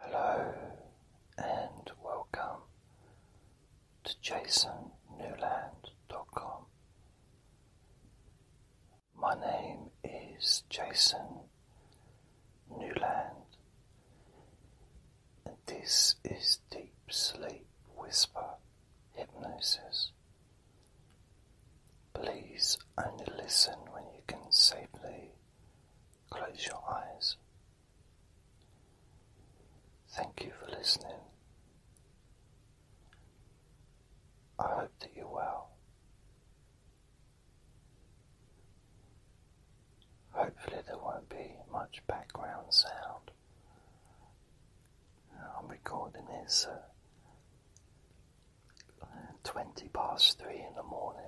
Hello and welcome to jasonnewland.com. My name is Jason Newland, and this is Deep Sleep Whisper Hypnosis. Please only listen when you can safely Close your eyes. Thank you for listening. I hope that you're well. Hopefully, there won't be much background sound. I'm recording this at uh, 20 past 3 in the morning,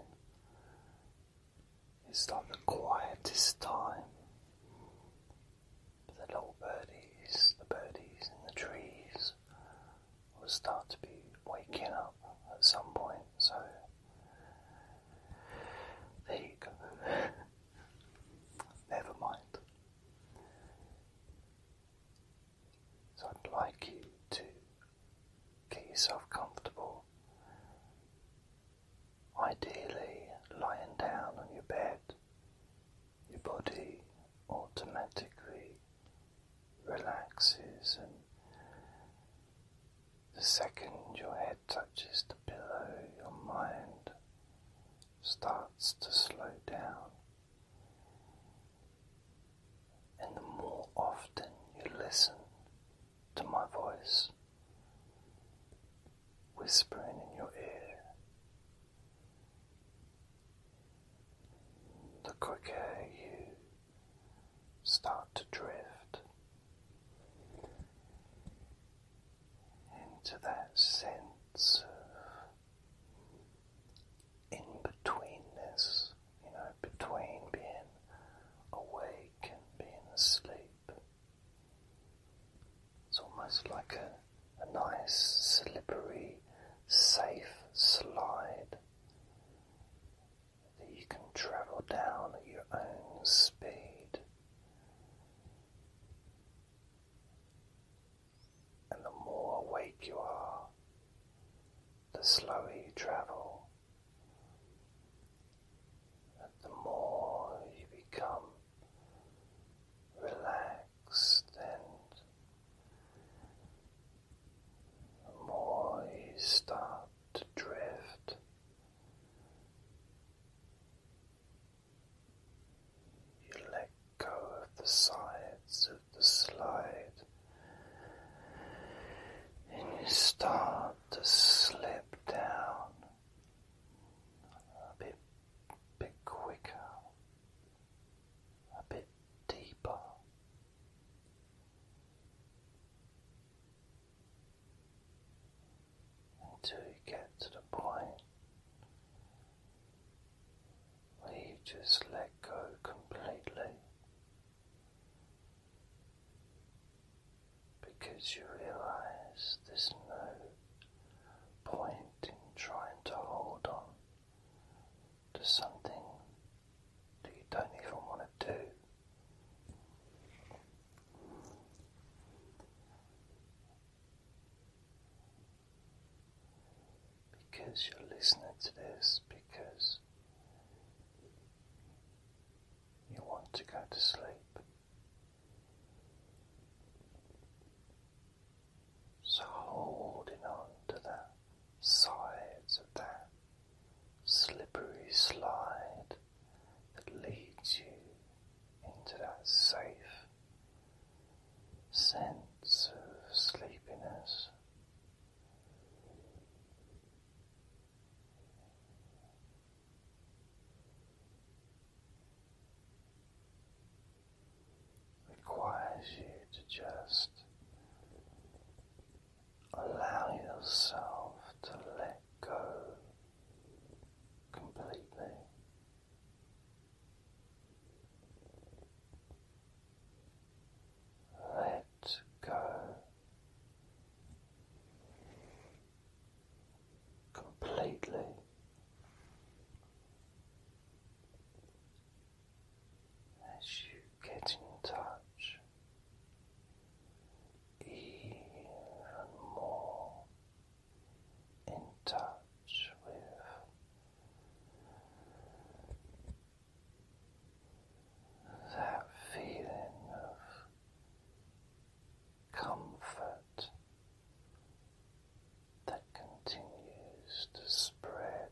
it's not the quietest time. But the little birdies, the birdies in the trees, will start to be waking up at some point. So there you go. Never mind. So I'd like you to Get yourself comfortable. Ideally, lying down on your bed, your body automatically relaxes, and the second your head touches the pillow, your mind starts to slow down. And the more often you listen to my voice, whispering in your ear. The quicker you start to drift into that sense of in betweenness you know, between being awake and being asleep. It's almost like a, nice, slippery, safe slide that you can travel down at your own speed. And the more awake you are, the slower you travel, the more you become relaxed and the more you start to drift. You let go of the sides of the slide and you start to slip down a bit, bit quicker, a bit deeper. Until you get to the point where you just let go completely because you realize there's no point in trying to hold on to something that you don't even want to do. Because you're listening to this, because you want to go to sleep. So holding on to the sides of that slippery slide that leads you into that safe sense of sleepiness requires you to just allow yourself to let go completely. Let go completely. As you get in touch even more in touch with that feeling of comfort that continues to spread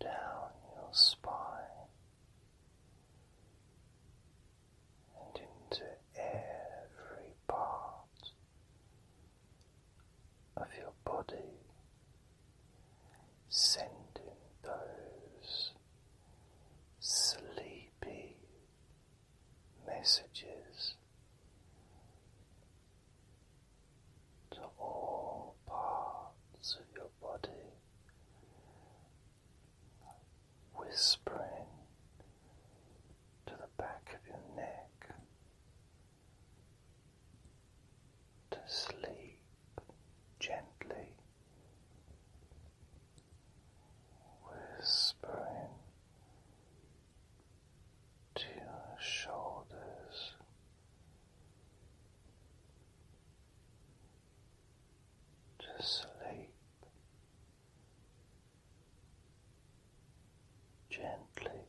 down your spine and into every part of your body sending those sleepy messages to all parts of your body, whispering to the back of your neck to sleep gently whispering to your shoulders. To sleep gently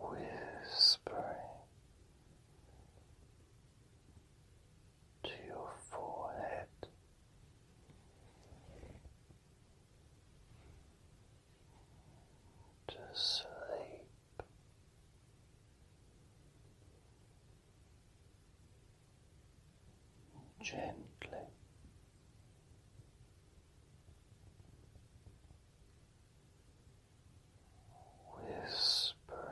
whispering to your forehead. To sleep, gently whispering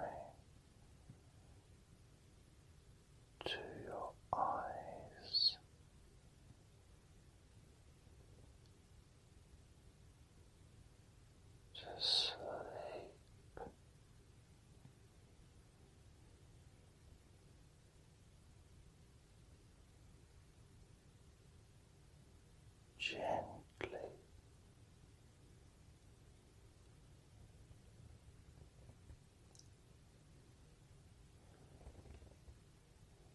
to your eyes. To sleep, gently.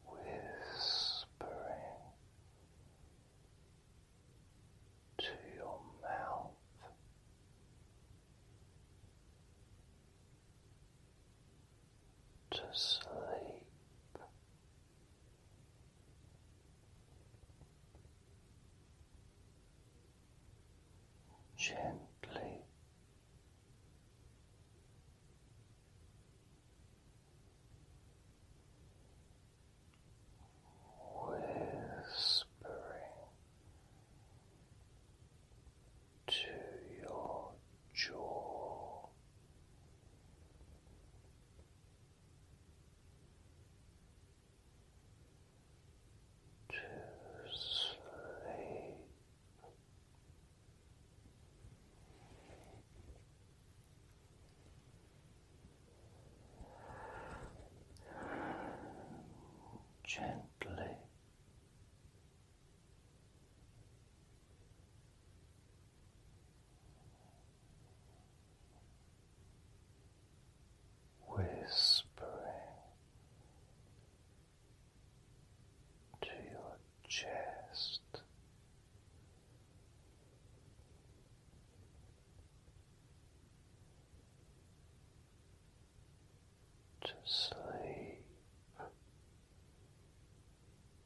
Whispering to your mouth, to sleep, Gently whispering to your jaw to sleep. Gently whispering to your chest. To sleep,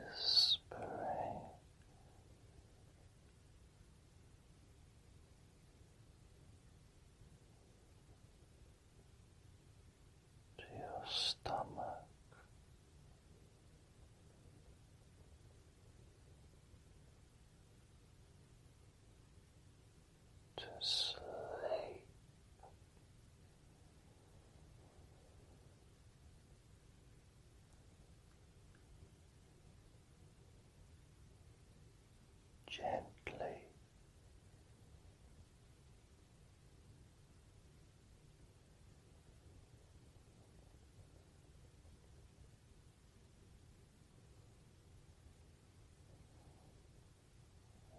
Whispering to your stomach to sleep. Gently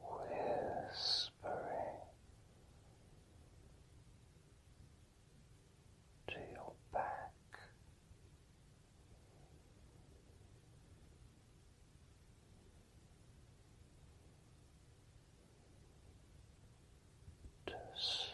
whispering to your back. To sleep.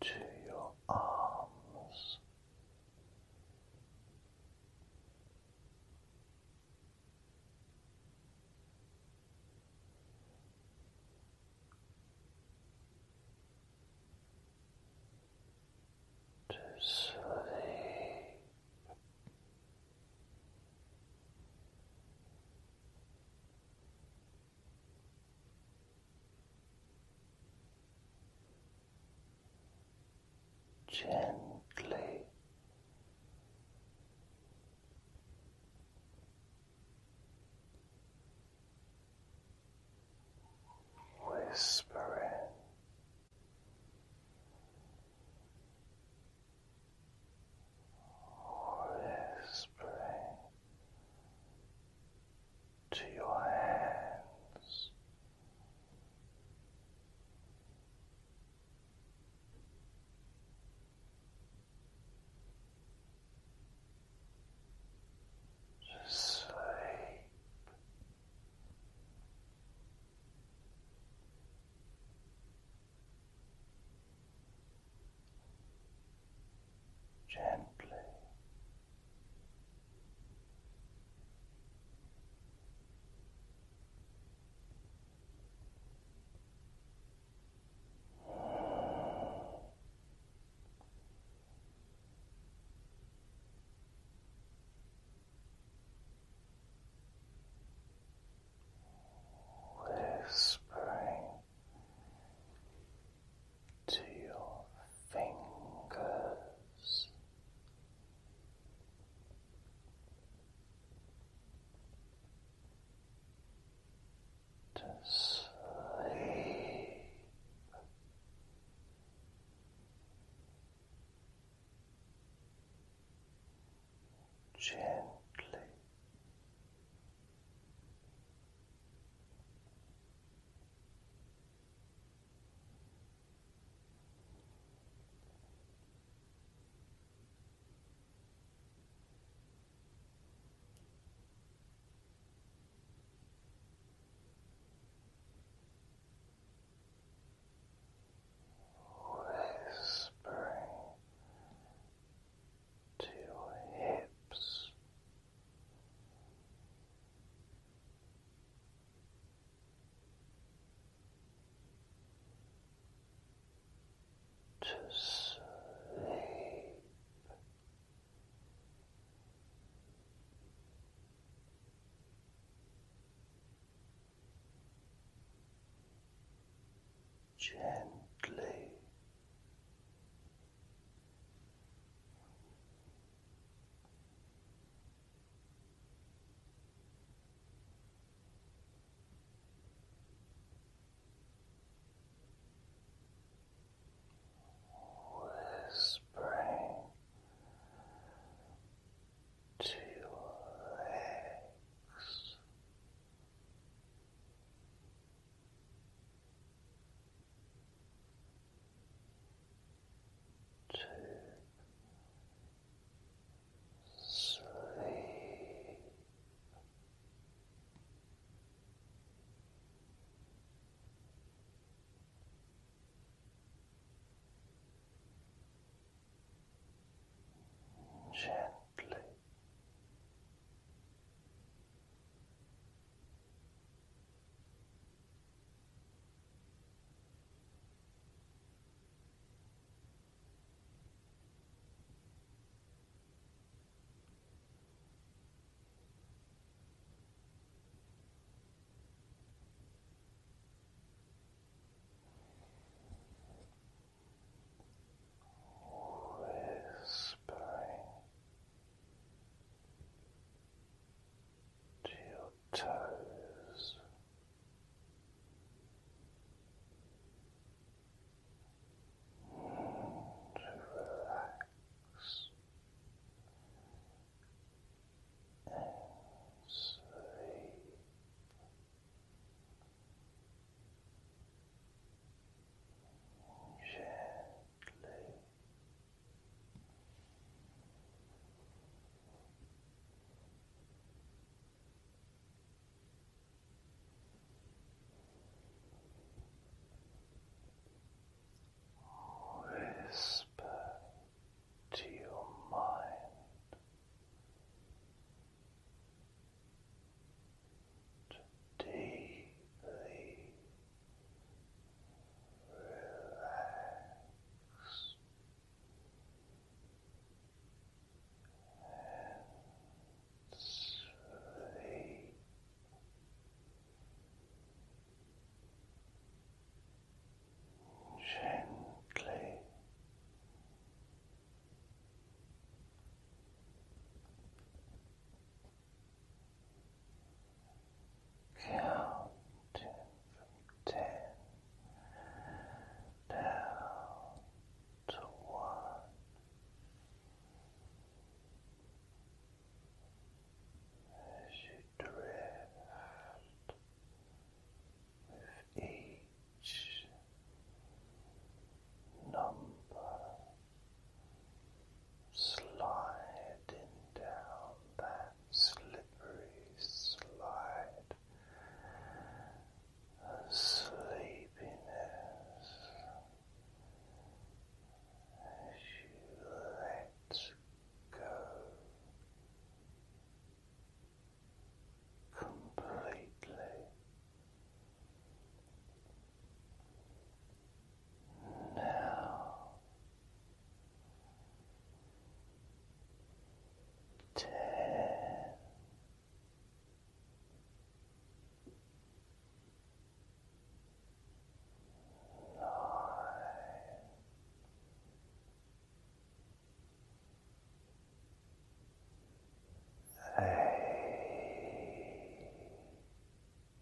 to your arms. To sleep. Gently whispering. Whispering to your hands. To sleep. Gently Whispering to your fingers. To sleep, gently Whispering to your hips to sleep. Gently Whispering to your legs to sleep. Gently Whispering to your toes. And relax and sleep. Gently Whisper to your mind deeply and sleep. Gently counting from down to one. As you drift with each number sliding down that slippery slide, a sleepiness as you let go completely. Now ten nine eight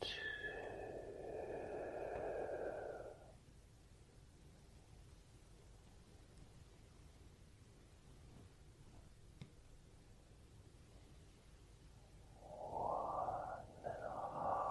Two. One and a half.